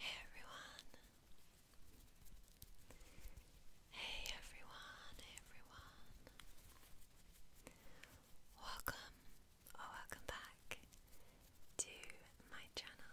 Hey everyone. Hey everyone, everyone. Welcome or welcome back to my channel.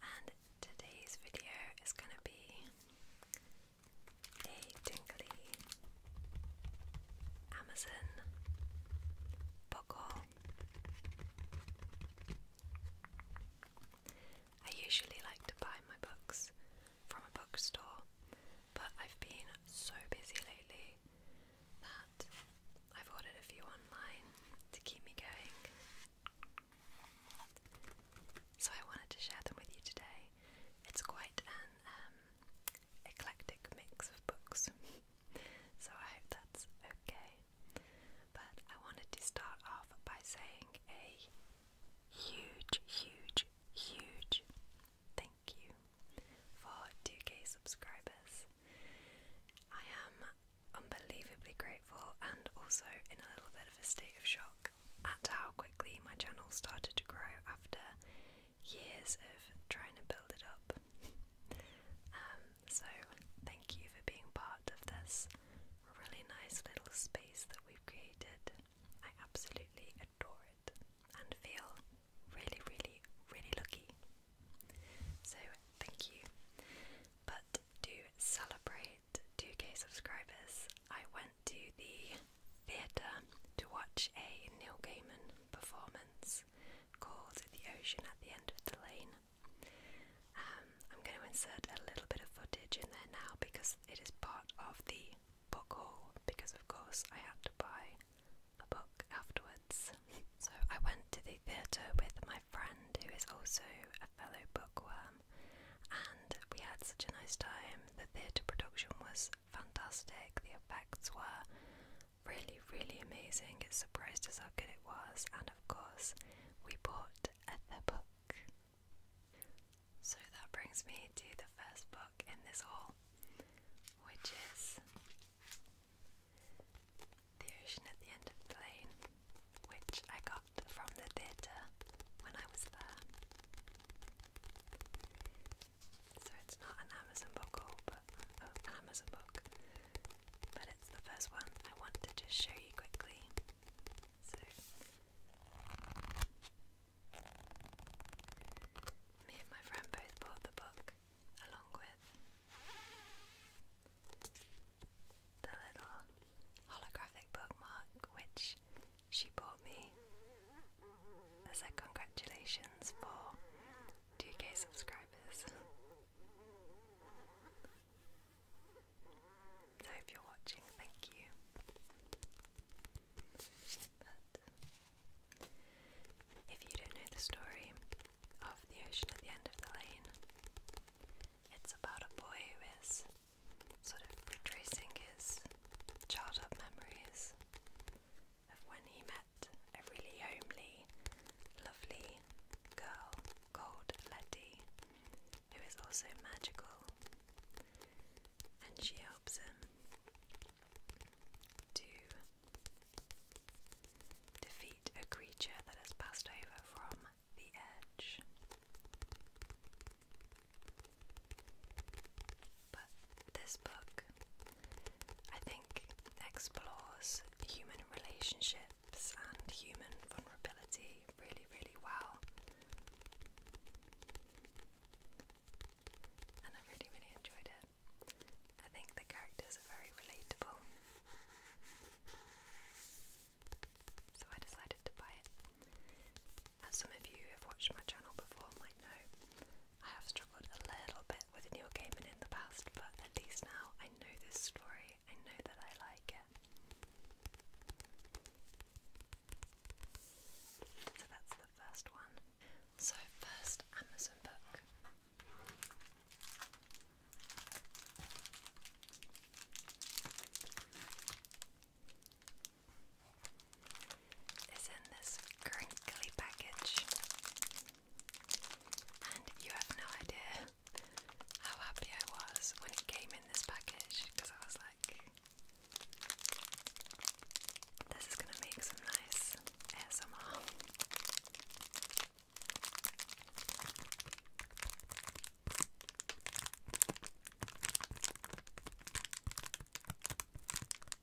And today's video is going to be a tingly Amazon book I usually like to buy my books from a bookstore, but I've been so busy lately that I've ordered a few online to keep me going. So I wanted to share them with you today. It's quite an um, eclectic mix of books. so I hope that's okay. But I wanted to start off by saying a huge, huge, huge thank you for 2k subscribers. I am unbelievably grateful and also in a little bit of a state of shock at how quickly my channel started to grow after years of trying to build it up. Um, so, thank you for being part of this really nice little space that we've created. I absolutely adore it and feel really, really, really lucky. So, thank you. But to celebrate 2k subscribers, I went to the theatre to watch a Neil Gaiman performance called The Ocean at the End of the Lane. Um, I'm going to insert a little bit of footage in there now because it is part of the book haul, because of course I had to buy a book afterwards. so I went to the theatre with my friend who is also a fellow bookworm, and we had such a nice time. The theatre production was fantastic, the effects were really, really amazing. It surprised us how good it was, and of course, we bought another book. So that brings me to the first book in this haul, which is The Ocean at the End of the Lane, which I got from the theatre when I was there. So it's not an Amazon book but oh, an Amazon book. But it's the first one I want to just show you quickly. So me and my friend both bought the book along with the little holographic bookmark which she bought me. I said congratulations for 2k subscribers. So if you're watching, thank you. if you don't know the story of the ocean at the end of the lane, it's about a boy who is sort of retracing his childhood memories of when he met a really homely, lovely girl called Letty, who is also magical, and she helps him to defeat a creature that has passed over from the edge. But this book, I think, explores human relationships and human vulnerability really, really well. And I really, really enjoyed it. I think the characters are very relatable. So I decided to buy it. As some of you who have watched my channel before might know, I have struggled a little bit with New Game in the past, but at least now I know this story. I know that I like it. So that's the first one. So, first Amazon book is in this crinkly package, and you have no idea how happy I was when it came in this package because I was like, this is gonna make some nice ASMR.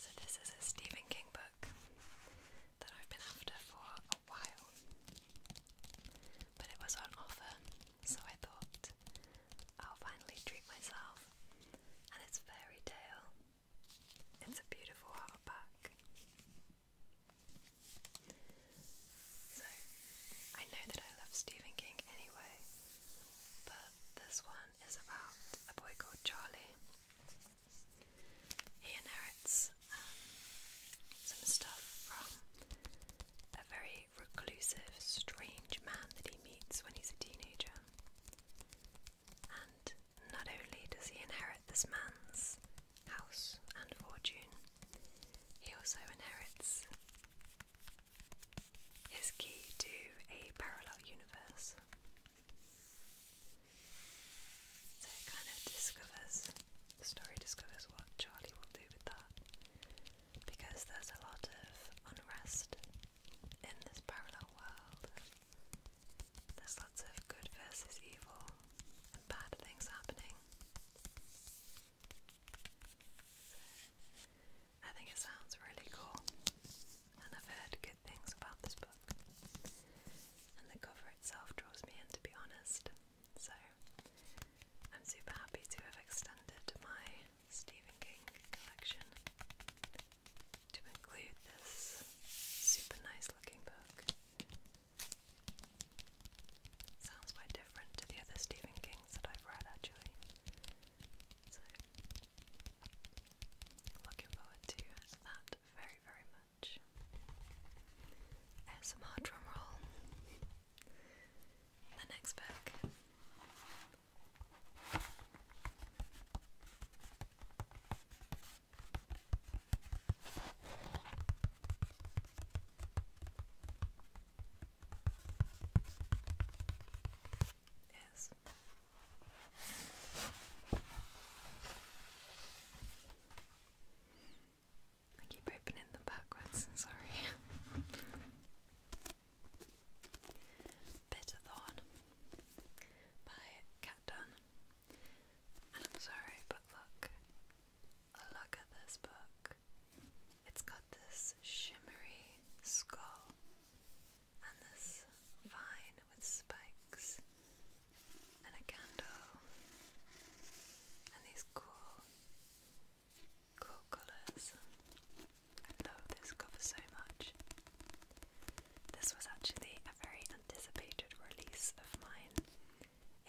So, this is a Stephen King book that I've been after for a while, but it was on offer, so I thought I'll finally treat myself. And it's Fairy Tale, it's a beautiful hardback. So, I know that I love Stephen King anyway, but this one is about a boy called Charlie he inherits um, some stuff from a very reclusive, strange man that he meets when he's a teenager. And not only does he inherit this man's house and fortune, he also inherits his key to a parallel universe. So it kind of discovers, the story discovers what Charlie will do with that. Because there's a lot of unrest in this parallel world. There's lots of good versus evil and bad things happening. I think it sounds really cool, and I've heard good things about this book. And the cover itself draws me in, to be honest, so I'm super happy to have extended my Stephen King collection to include this super nice looking book. Sounds quite different to the other Stephen Kings that I've read actually. So, looking forward to that very, very much. ASMR drumroll. The next book. is I keep opening them backwards, sorry. Bitter by Cat Dunn. And I'm sorry, but look. Look at this book. It's got this shimmery skull and this vine with spikes and a candle and these cool cool colours. I love this cover so much. This was actually a very anticipated release of mine.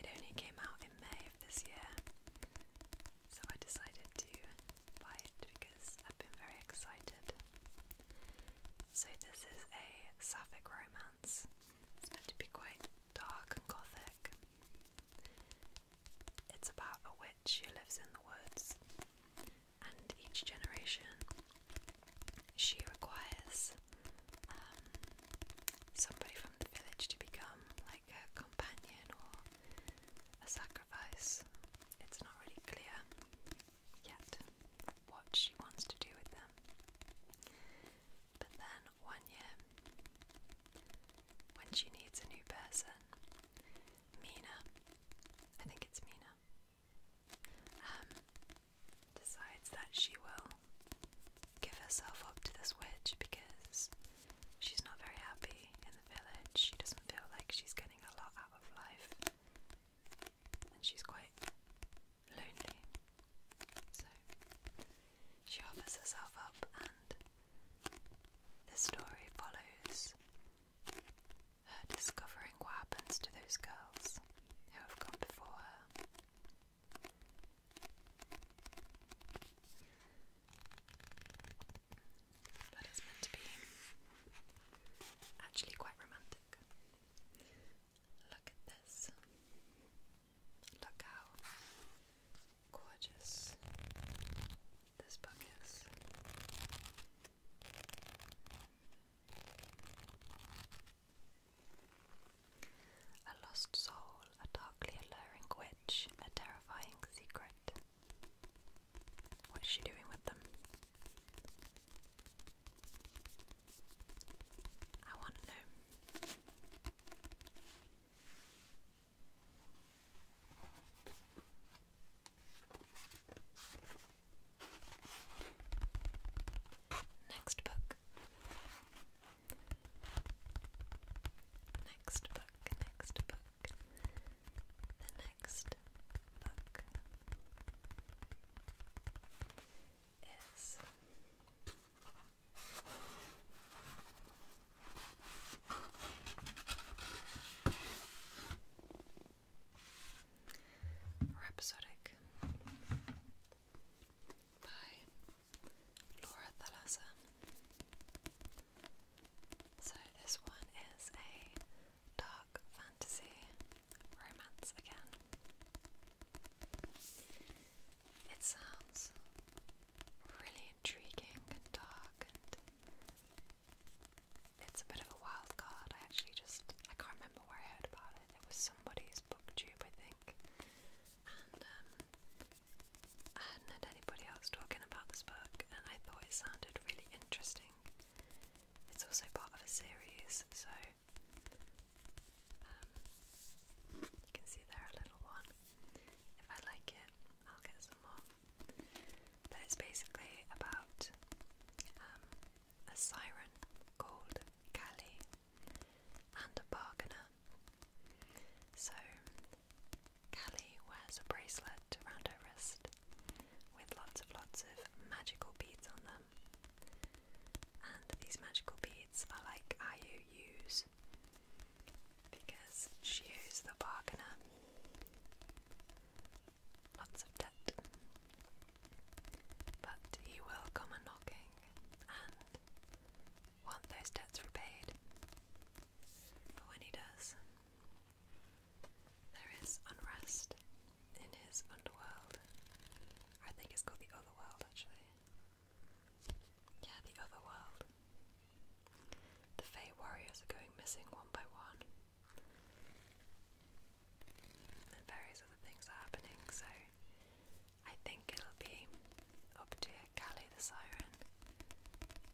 It only came out in May of this year so I decided to buy it because I've been very excited. So, this is a sapphic romance. It's meant to be quite dark and gothic. It's about a witch who lives in the woods, and each generation she requires um, somebody from the village to become like a companion or a sacrifice it's not really clear yet what she wants to do with them. But then one year, when she needs a new person, Mina, I think it's Mina, um, decides that she will give herself up to this witch because she's not very happy in the village. She doesn't feel like she's getting a lot out of life, and she's quite lonely. So she offers herself up, and the story follows her discovering what happens to those girls who have gone before her. But meant to be actually quite romantic. Look at this. Look how gorgeous this book is. A lost soul, a darkly alluring witch, a terrifying secret. What's she doing with them? I want to know. Next book. Next book, next book the next book is Rhapsodic by Laura Thalassa. So this one is a dark fantasy romance again. It sounds really intriguing and dark and it's a bit of a wild card. I actually just I can't remember where I heard about it. It was somebody's booktube I think. Um, I hadn't heard anybody else talking about this book, and I thought it sounded really interesting. It's also part of a series, so um, you can see there a little one. If I like it, I'll get some more. But it's basically about um, a siren called Callie and a bargainer. So Callie wears a bracelet around her wrist with lots of lots of magical beads on them. And these magical beads are like IOUs because she is the bargainer. Lots of debt. But he will come a knocking want those debts repaid. But when he does, there is unrest in his underworld. I think it's called the Otherworld, actually. Yeah, the Otherworld. The Fey warriors are going missing one by one. And various other things are happening, so I think it'll be up to Callie the Siren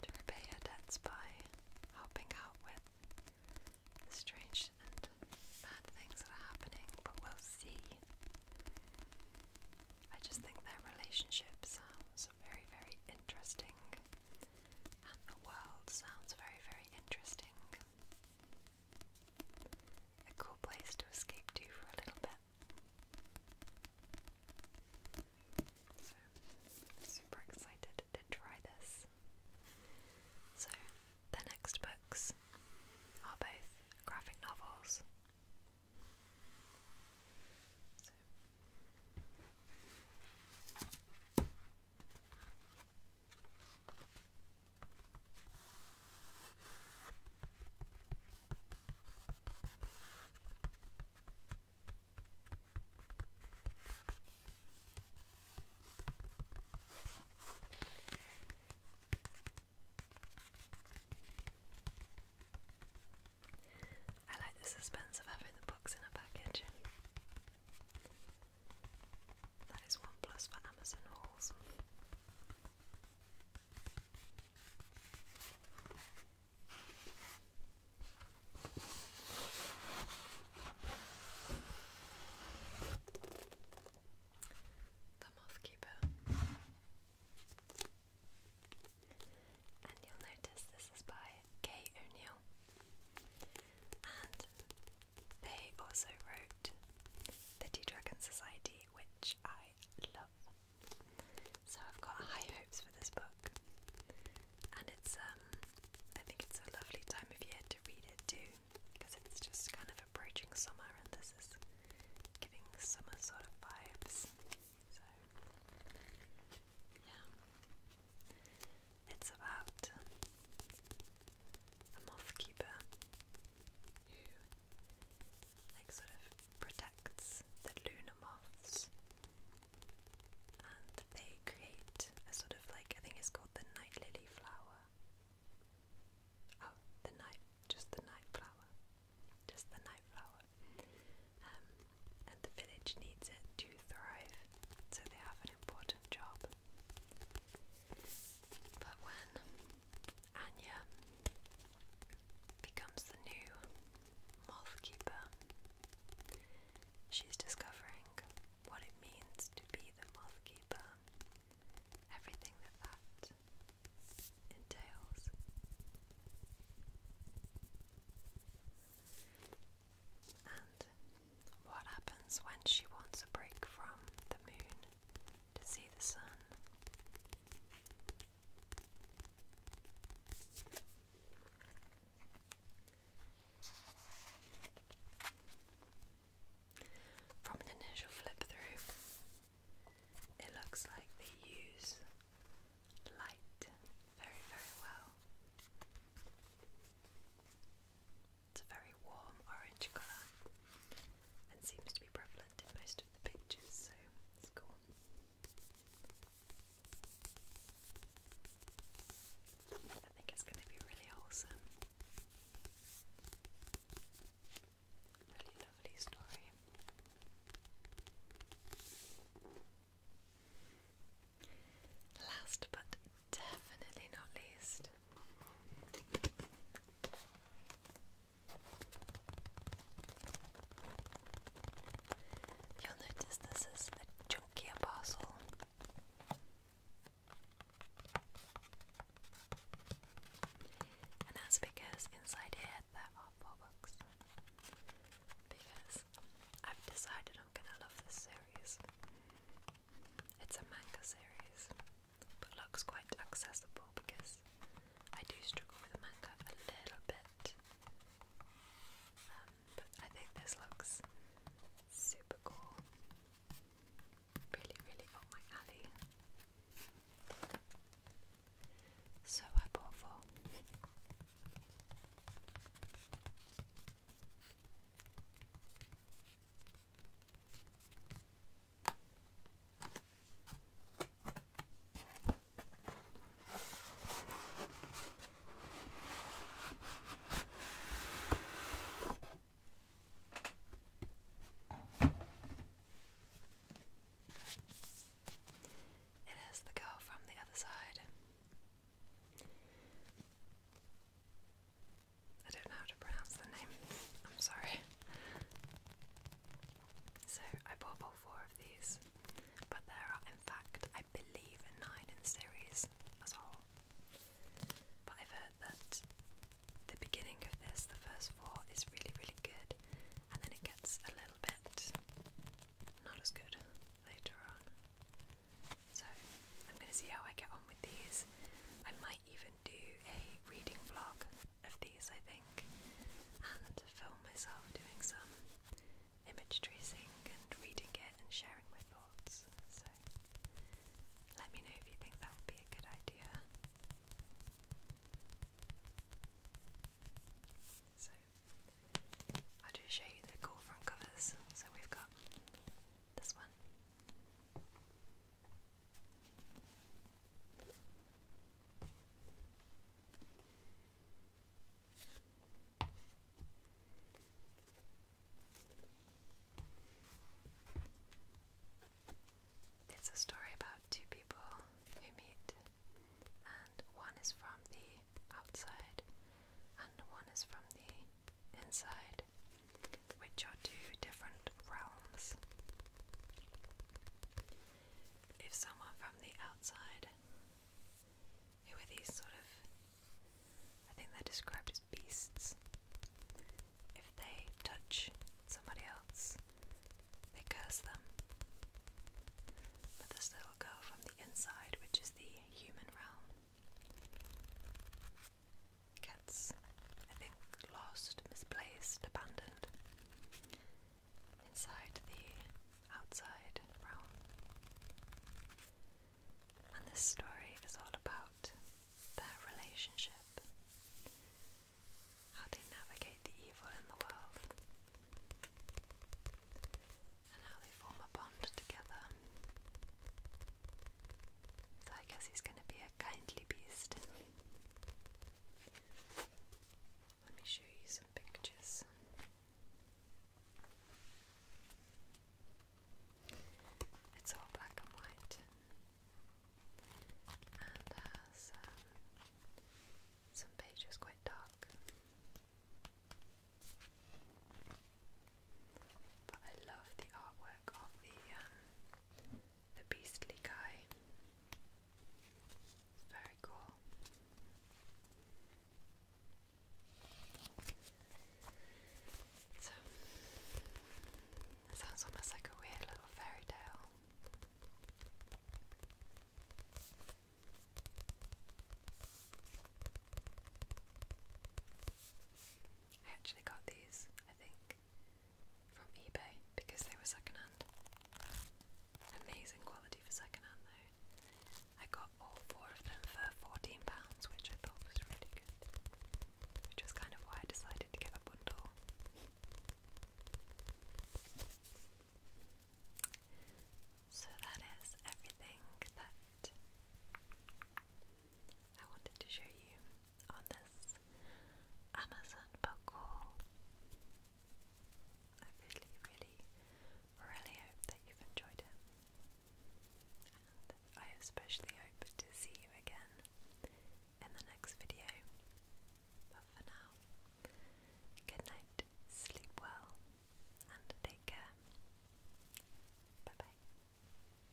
to repay her debts by helping out with the strange and bad things that are happening, but we'll see. I just think their relationship sounds very, very interesting, and the world sounds very, very interesting. A cool place to escape to for a little bit. So, super excited to try this. So, the next books are both graphic novels. I like the suspense of having the books in a package. That is one plus for Amazon hauls. The Mothkeeper. And you'll notice this is by Kay O'Neill. And they also wrote The Tea Dragon Society, which I love. So I've got high hopes for this book, and it's um, I think it's a lovely time of year to read it too, because it's just kind of approaching summer, and this is giving summer sort of vibes. So yeah, it's about a moth who, like, sort of protects the luna moths and they create a sort of like, I think it's called the night lily flower. Oh, the night, just the night flower. Just the night flower. Um, and the village needs it to thrive, so they have an important job. But when Anya becomes the new moth She's discovering what it means to be the moth keeper, everything that that entails. And what happens when she wants a break from the moon to see the sun? From an initial flip through, it looks like they use light very, very well. It's a very warm orange colour, and seems to be prevalent in most of the pictures, so it's cool. I think it's going to be really awesome. Really lovely story. Last but definitely not least, You'll notice this is a chunkier parcel. And that's because inside here there are four books. Because I've decided I'm gonna love this series. It's a manga series but looks quite accessible because I do struggle with a manga a little bit. Um, but I think this looks super cool. Really, really up my alley. So I bought four. It is the girl from the other side. I don't know how to pronounce the name. I'm sorry. So I bought all four of these, but there are, in fact, I believe, nine in the series as a whole. But I've heard that the beginning of this, the first four, is really, really good, and then it gets a little bit not as good later on. So I'm going to see how I get on with these. I might even do a reading blog of these, I think, and film myself doing some image tracing and reading it and sharing my thoughts. So let me know if you think that would be a good idea. So I'll just show you the cool covers. So we've got this one. It's a story about two people who meet, and one is from the outside, and one is from the inside which are two different realms. If someone from the outside, who are these sort of, I think they're described as beasts, if they touch somebody else, they curse them. But this little girl from the inside, which is the human realm, gets, I think, lost, misplaced, abandoned inside the outside realm. And this story is all about their relationship, how they navigate the evil in the world, and how they form a bond together. So I guess he's going to be a kindly beast. Let me show you some pictures. It's all black and white and has uh, some pages quite dark. But I love the artwork of the um, the beastly guy. very cool. So, sounds almost like a weird little fairy tale. I actually got these, I think, from eBay because they were secondhand. Amazing quality for secondhand though. I got all four of them for £14, which I thought was really good. Which was kind of why I decided to get a bundle. So that is everything that I wanted to show you on this Amazon book haul. I really, really, really hope that you've enjoyed it. And I especially hope to see you again in the next video. But for now, good night, sleep well, and take care. Bye bye.